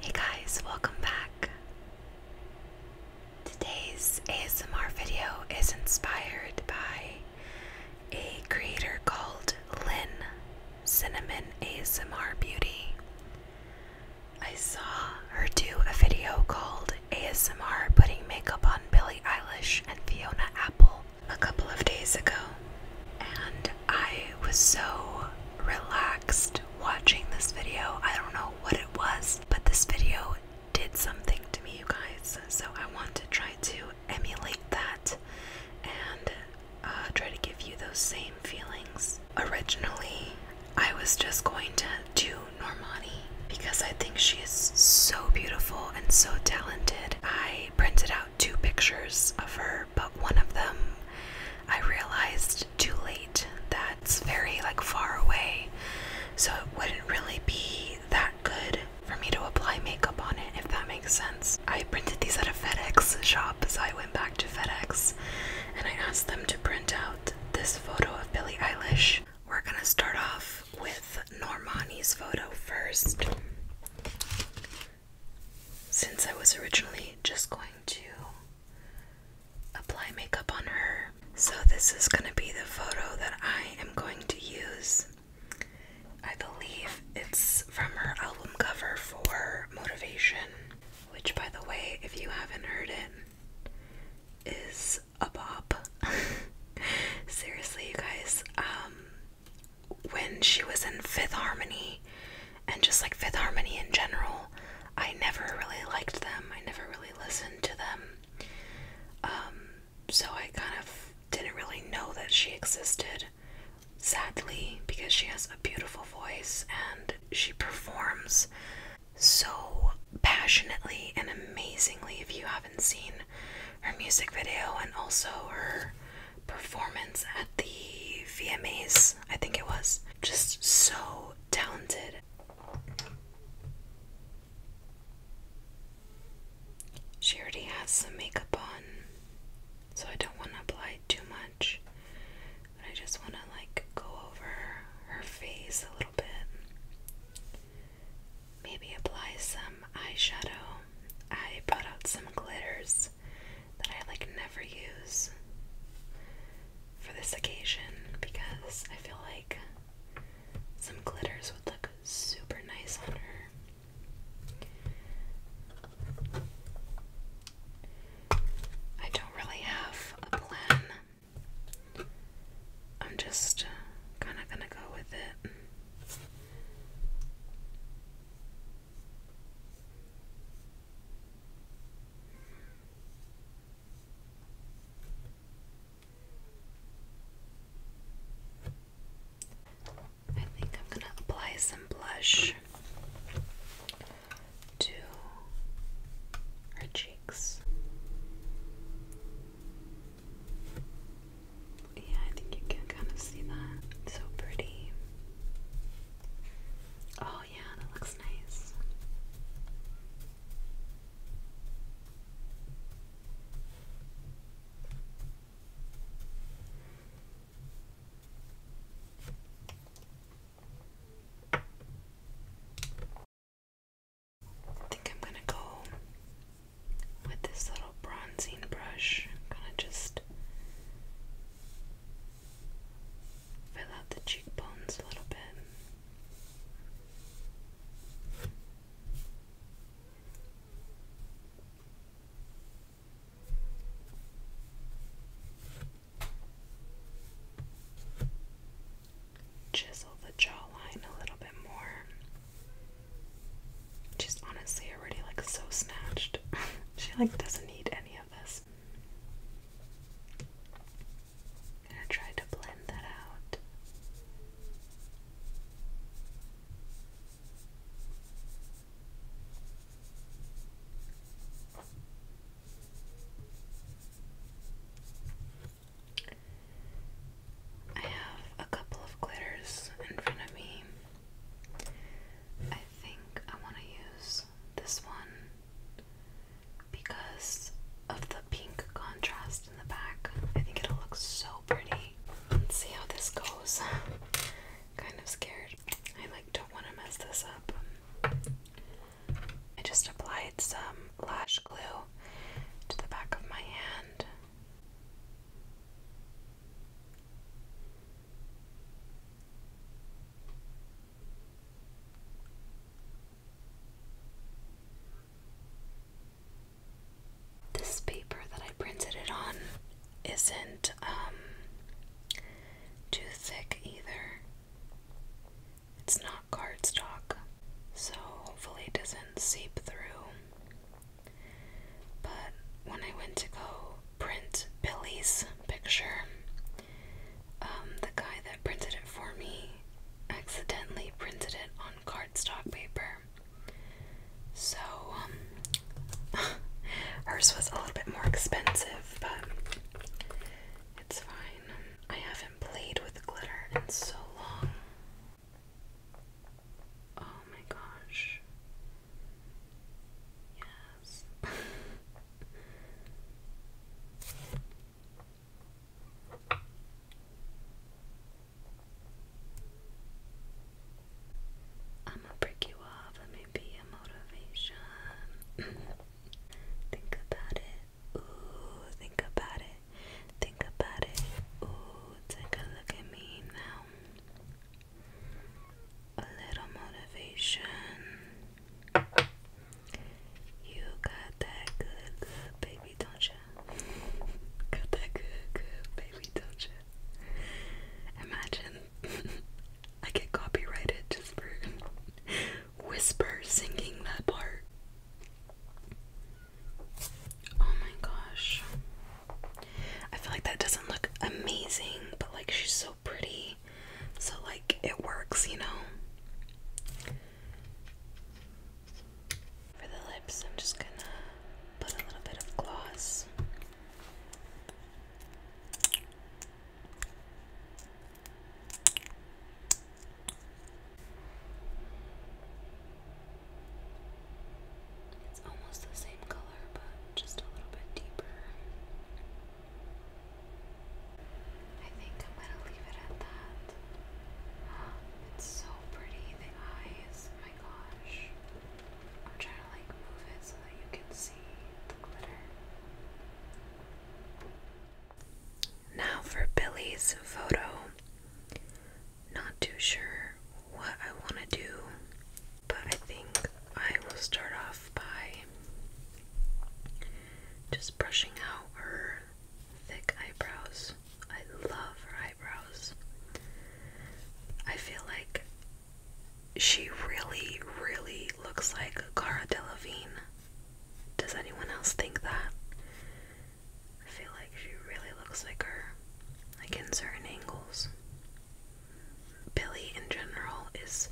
Hey guys, welcome back. Today's ASMR video is inspired by a creator called Lynn Cinnamon ASMR Beauty. I saw her do a video called ASMR Putting Makeup on Billie Eilish and Fiona Apple a couple of days ago and I was so relaxed watching this video. I don't know what it was, but this video did something to me, you guys. So I want to try to emulate that and uh, try to give you those same feelings. Originally, I was just going to do Normani because I think she is so beautiful and so talented. I printed out two pictures of her, but one of them I realized too late that's very like far away, so it wouldn't really be that good for me to apply makeup on it if that makes sense. I printed these at a FedEx shop, so I went back to FedEx and I asked them to print out this photo of Billie Eilish. We're gonna start off with Normani's photo first. Since I was originally just going to apply makeup on her. So, this is going to be the photo that I am going to use. I believe it's from her album cover for Motivation, which, by the way, if you haven't heard it, is a bop. Seriously, you guys, um, when she was in Fifth Harmony and just like Fifth Harmony in general, I never really liked them. I never really listened to them. Um, so I kind of didn't really know that she existed, sadly, because she has a beautiful voice and she performs so passionately and amazingly. If you haven't seen her music video and also her performance at the VMAs, I think it was. Just so talented. She already has some makeup on, so I don't want to apply too much. But I just want to like go over her face a little bit. Maybe apply some eyeshadow. I brought out some glitters that I like never use for this occasion because I feel like some glitters would look super nice on her. I don't really have a plan. I'm just kind of gonna go with it. I think I'm going to apply some blush to her cheeks. Yeah, I think you can kind of see that. It's so pretty. Oh, yeah, that looks nice. I think I'm gonna go with this little bronzing brush. gonna just fill out the cheekbones a little bit chisel the jawline a little bit more. She's honestly already like so snatched. she like doesn't need any of this. gonna try to blend that out. I have a couple of glitters in front of me. I think I want to use this one because of the pink contrast in the back. I think it'll look so pretty. Let's see how this goes. kind of scared. I like don't want to mess this up. I just apply applied some lash glue to the back of my hand. This paper that I printed it on isn't um, too thick either. It's not cardstock, so hopefully it doesn't seep through. But when I went to go print Billy's picture, um, the guy that printed it for me accidentally printed it on cardstock paper. So, um, hers was a little bit more expensive, but it's fine. I haven't played with glitter in so long. Oh my gosh. Yes. I'm gonna break you off. Let me be a motivation. Think about it. Ooh, think about it. Think about it. Ooh, take a look at me now. A little motivation. You got that good, good baby, don't you? Got that good, good baby, don't you? Imagine I get copyrighted just for whisper singing that part. Oh my gosh. I feel like that doesn't look amazing, but like she's so pretty. So like it works, you know. For the lips, I'm just gonna put a little bit of gloss. It's almost the same color, but just a little bit deeper. I think I'm gonna leave it at that. It's so pretty, the eyes. My gosh. I'm trying to like move it so that you can see the glitter. Now for Billy's photo. Not too sure what I want to do, but I think I will start off by just brushing out her thick eyebrows. I love her eyebrows. I feel like she really, really looks like Cara Delevingne. Does anyone else think that? I feel like she really looks like her, like in certain angles. Billy, in general, is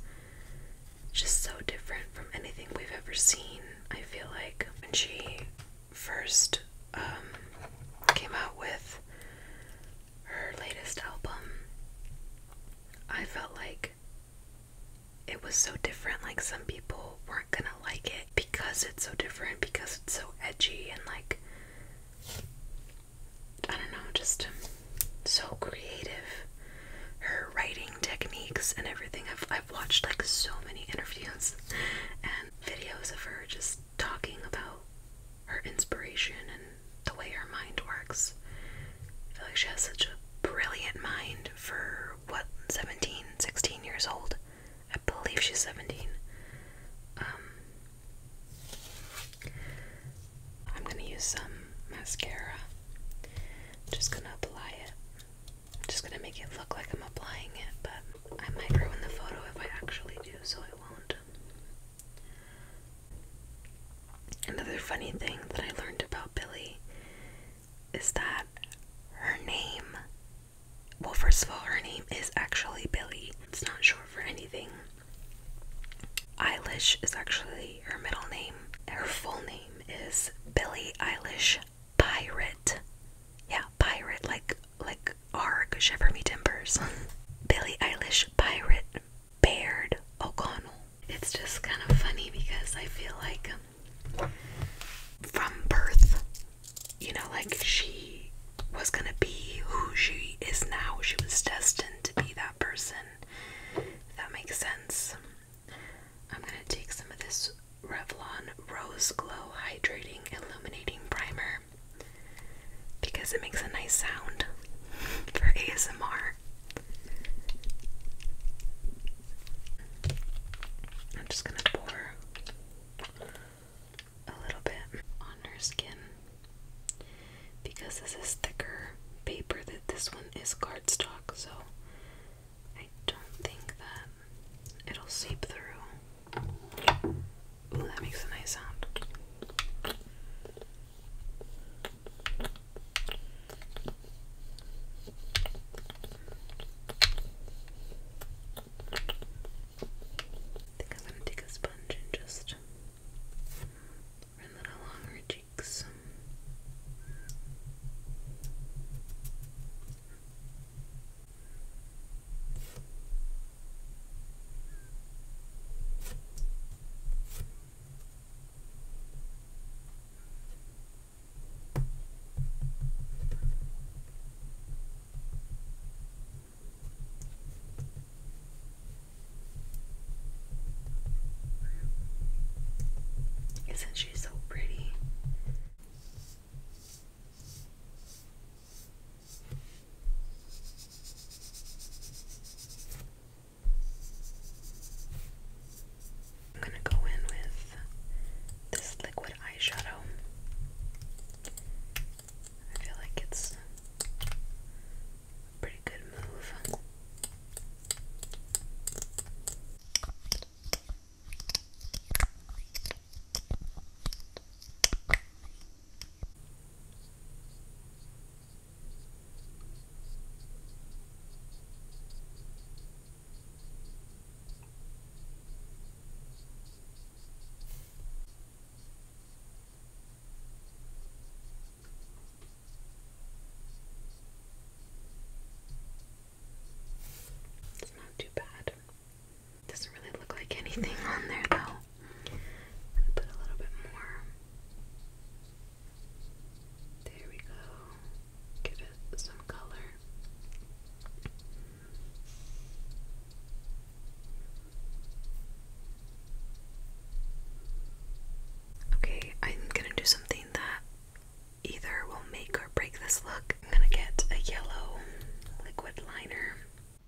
just so different from anything we've ever seen. I feel like when she first um, came out with her latest album, I felt like it was so different. Like, some people weren't gonna like it because it's so different, because it's so edgy, and like, I don't know, just um, so creative. Her writing techniques and everything. I've, I've watched like so many interviews and videos of her just talking about her inspiration and the way her mind works. I feel like she has such a brilliant mind for what 17, 16 years old. I believe she's 17. Um, I'm gonna use some mascara. just gonna apply it. just gonna make it look like I'm applying it, but I might ruin the photo if I actually do, so I won't. Another funny thing that I learned about Billy is that her name, well, first of all, her name is actually Billy, it's not short for anything. Eilish is actually her middle name. Her full name is Billy Eilish Pirate. Yeah, pirate, like like Arg Shiver Me Timbers. Billie Eilish Pirate Baird O'Connell. It's just kind of funny because I feel like um, from birth, you know, like she was gonna be who she is now. She was destined to be that person. If that makes sense. I'm gonna take some of this Revlon Rose Glow Hydrating Illuminating Primer because it makes a nice sound for ASMR. I'm just gonna pour a little bit on her skin because this is thicker paper than this one is cardstock, so I don't think that it'll seep through. Ooh, that makes a nice sound. I think I'm going to take a sponge and just run that along her cheeks. Isn't she so pretty? I'm going to go in with this liquid eyeshadow. I feel like it's pretty good move. It's not too bad. Doesn't really look like anything on there though. gonna put a little bit more. There we go. Give it some color. Okay, I'm gonna do something that either will make or break this look. I'm gonna get a yellow liquid liner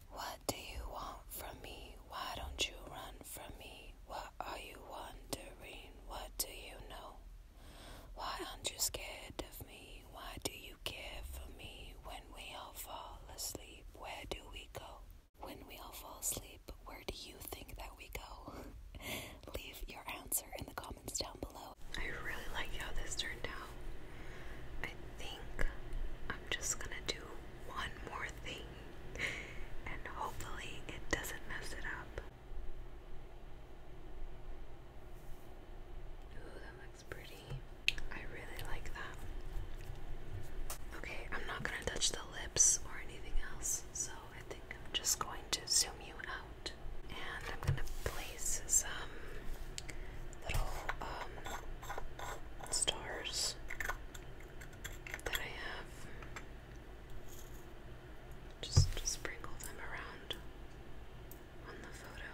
what do you want from me? Why don't you run from me? What are you wondering? What do you know? Why aren't you scared of me? Why do you care for me? When we all fall asleep, where do we go? When we all fall asleep, where do you think that we go? Leave your answer in the comments down below. I really like how this turned out. I think I'm just gonna do one more thing and hopefully it doesn't mess it up. Ooh, that looks pretty. I really like that. Okay, I'm not gonna touch the lips or anything else, so I think I'm just going to zoom you out. And I'm gonna place some little um, stars that I have. just sprinkle them around on the photo.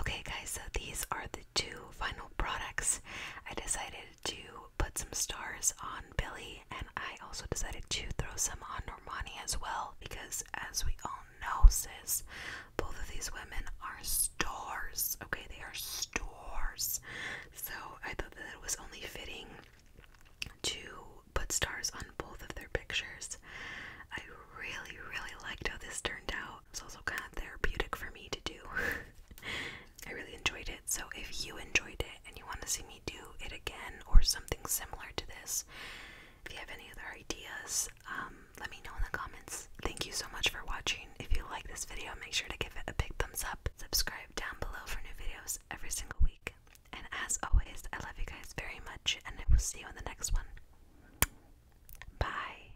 Okay guys, so these are the two final products. I decided to put some stars on Billy, and I also decided to throw some on Normani as well because, as we all know, sis, both of these women are stars. Okay, they are stars. So I thought that it was only fitting to put stars on both of their pictures. I really, really liked how this turned out it's also kind of therapeutic for me to do. I really enjoyed it. So if you enjoyed it and you want to see me do it again or something similar to this, if you have any other ideas, um, let me know in the comments. Thank you so much for watching. If you like this video, make sure to give it a big thumbs up. Subscribe down below for new videos every single week. And as always, I love you guys very much, and I will see you in the next one. Bye.